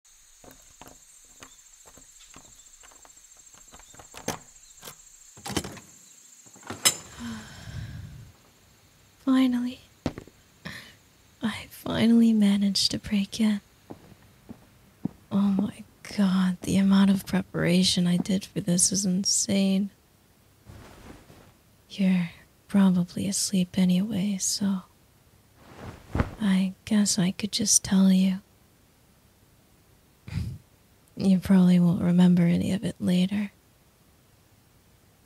finally. I finally managed to break in. Oh my god, the amount of preparation I did for this is insane. You're probably asleep anyway, so. I guess I could just tell you. You probably won't remember any of it later.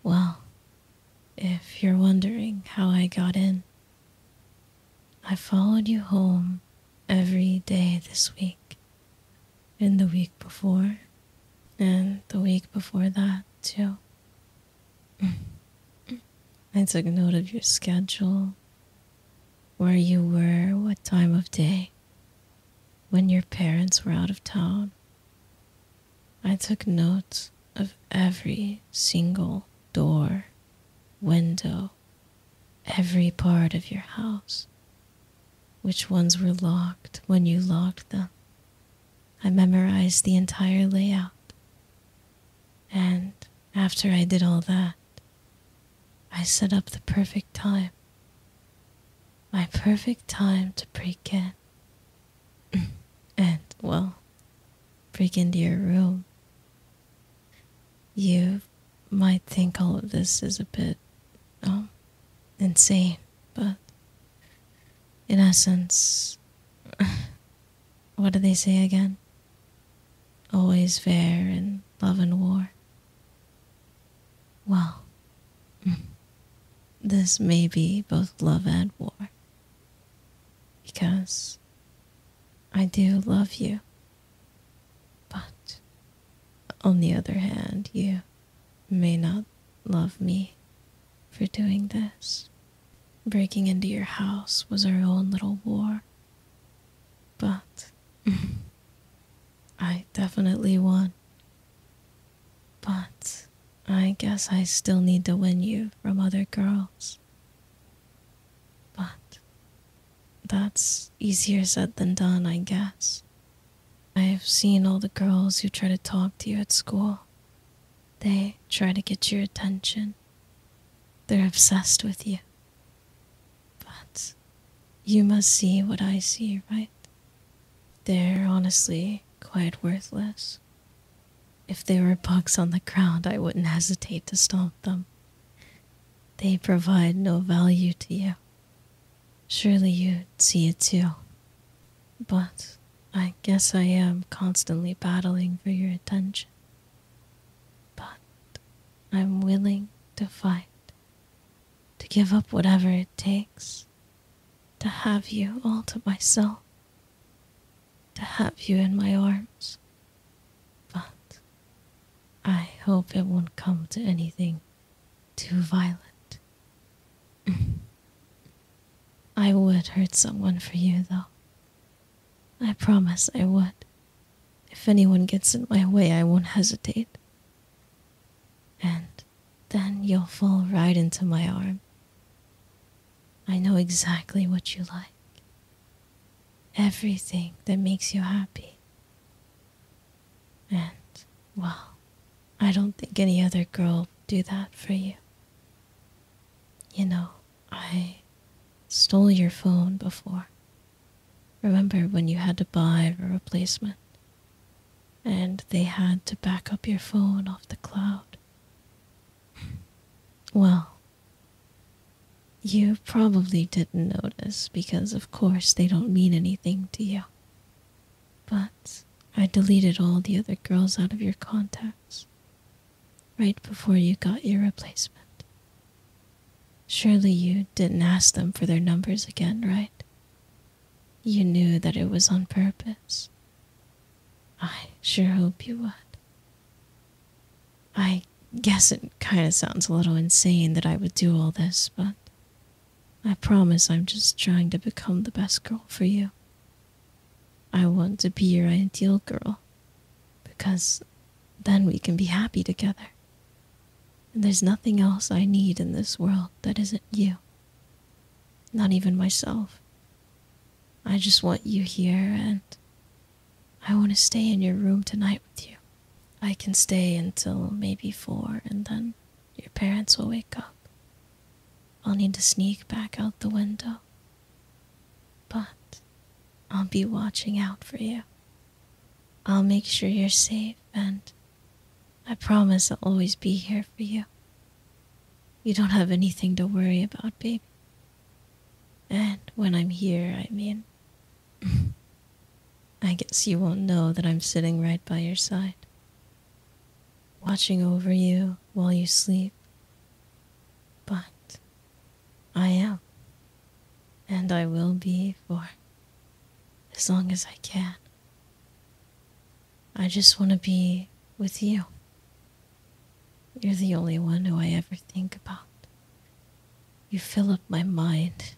Well, if you're wondering how I got in, I followed you home every day this week, and the week before, and the week before that, too. I took note of your schedule, where you were, what time of day, when your parents were out of town. I took notes of every single door, window, every part of your house, which ones were locked when you locked them. I memorized the entire layout and after I did all that, I set up the perfect time. My perfect time to break in. and, well, break into your room. You might think all of this is a bit um, insane, but in essence, what do they say again? Always fair in love and war. Well, this may be both love and war. Because I do love you. But on the other hand, you may not love me for doing this. Breaking into your house was our own little war. But I definitely won. But I guess I still need to win you from other girls. But that's easier said than done, I guess. I have seen all the girls who try to talk to you at school. They try to get your attention. They're obsessed with you. But you must see what I see, right? They're honestly quite worthless. If they were bugs on the ground, I wouldn't hesitate to stomp them. They provide no value to you. Surely you'd see it too. But I guess I am constantly battling for your attention. But I'm willing to fight, to give up whatever it takes, to have you all to myself, to have you in my arms. But I hope it won't come to anything too violent. I would hurt someone for you, though. I promise I would. If anyone gets in my way, I won't hesitate. And then you'll fall right into my arm. I know exactly what you like. Everything that makes you happy. And, well, I don't think any other girl will do that for you. You know, I stole your phone before. Remember when you had to buy a replacement and they had to back up your phone off the cloud? Well, you probably didn't notice because, of course, they don't mean anything to you. But I deleted all the other girls out of your contacts right before you got your replacement. Surely you didn't ask them for their numbers again, right? You knew that it was on purpose. I sure hope you would. I guess it kind of sounds a little insane that I would do all this, but I promise I'm just trying to become the best girl for you I want to be your ideal girl because then we can be happy together. And there's nothing else I need in this world that isn't you. Not even myself. I just want you here and I want to stay in your room tonight with you. I can stay until maybe four and then your parents will wake up. I'll need to sneak back out the window but I'll be watching out for you. I'll make sure you're safe, and I promise I'll always be here for you. You don't have anything to worry about, baby. And when I'm here, I mean, I guess you won't know that I'm sitting right by your side, watching over you while you sleep. But I am, and I will be for as long as I can. I just want to be with you. You're the only one who I ever think about. You fill up my mind.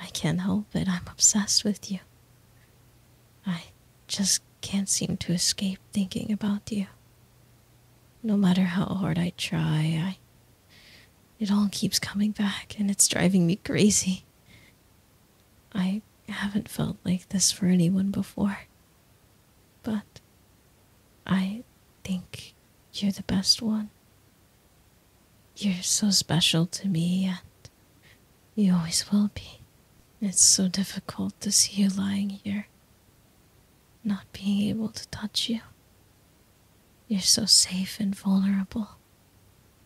I can't help it. I'm obsessed with you. I just can't seem to escape thinking about you. No matter how hard I try, I it all keeps coming back and it's driving me crazy. I haven't felt like this for anyone before. But I think you're the best one. You're so special to me, and you always will be. It's so difficult to see you lying here, not being able to touch you. You're so safe and vulnerable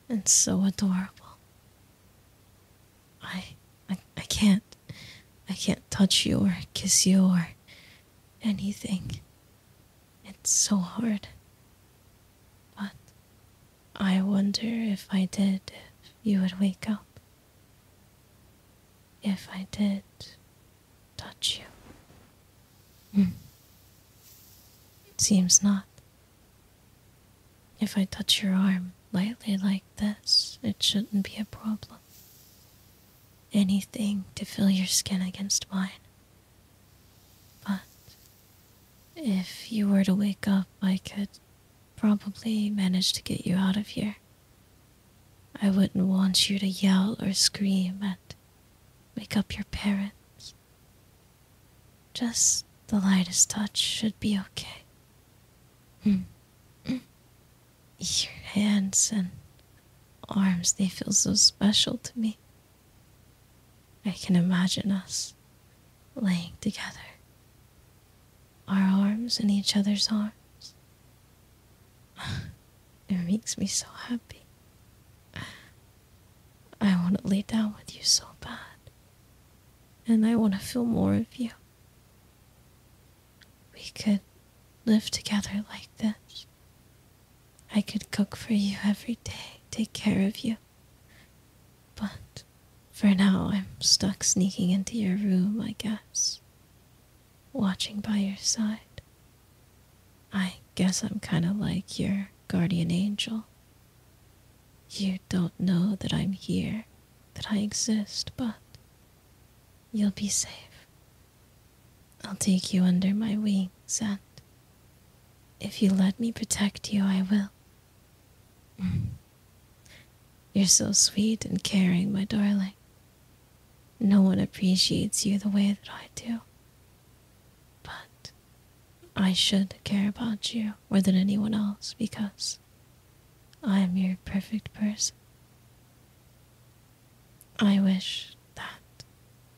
and so adorable. I, I I can't I can't touch you or kiss you or anything. It's so hard. But I wonder if I did if you would wake up if I did touch you. Mm. Seems not. If I touch your arm lightly like this, it shouldn't be a problem. Anything to feel your skin against mine. But if you were to wake up, I could probably manage to get you out of here. I wouldn't want you to yell or scream and wake up your parents. Just the lightest touch should be okay. Mm. your hands and arms, they feel so special to me. I can imagine us laying together, our arms in each other's arms, It makes me so happy. I want to lay down with you so bad. And I want to feel more of you. We could live together like this. I could cook for you every day, take care of you. But for now, I'm stuck sneaking into your room, I guess watching by your side. I guess I'm kind of like your guardian angel. You don't know that I'm here, that I exist, but you'll be safe. I'll take you under my wings, and if you let me protect you, I will. You're so sweet and caring, my darling. No one appreciates you the way that I do. But I should care about you more than anyone else because I am your perfect person. I wish that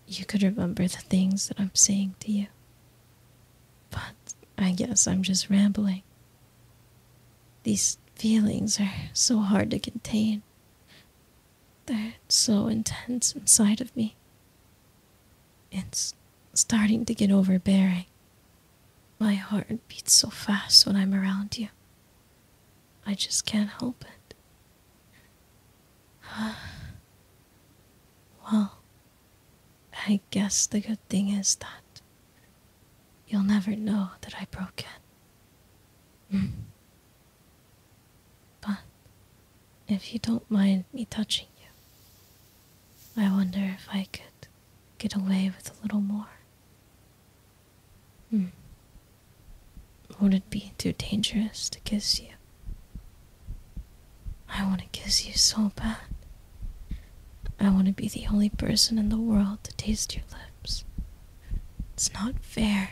you could remember the things that I'm saying to you. But I guess I'm just rambling these feelings are so hard to contain. They're so intense inside of me. It's starting to get overbearing. My heart beats so fast when I'm around you. I just can't help it. well, I guess the good thing is that You'll never know that I broke it. Mm. but if you don't mind me touching you, I wonder if I could get away with a little more. Hmm. Would it be too dangerous to kiss you? I want to kiss you so bad. I want to be the only person in the world to taste your lips. It's not fair.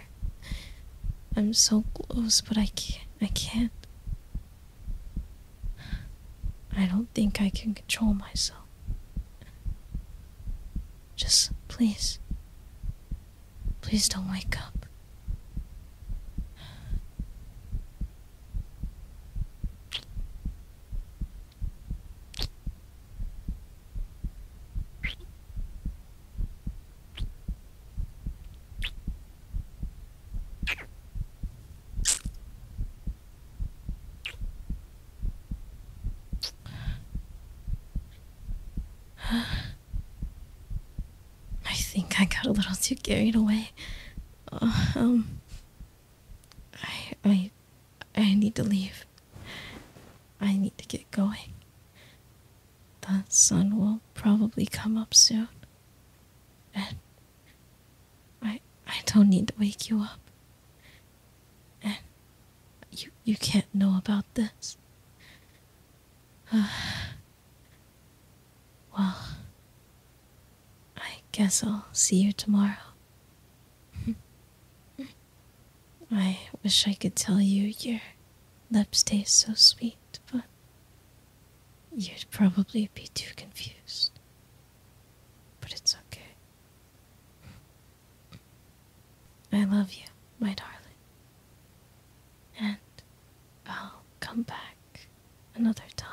I'm so close, but I can't. I can't. I don't think I can control myself. Just please. Please don't wake up. I think I got a little too carried away. Uh, um, I, I, I need to leave. I need to get going. The sun will probably come up soon. And I I don't need to wake you up. And you you can't know about this. well, I guess I'll see you tomorrow. I wish I could tell you your lips taste so sweet, but you'd probably be too confused. But it's okay. I love you, my darling. And I'll come back another time.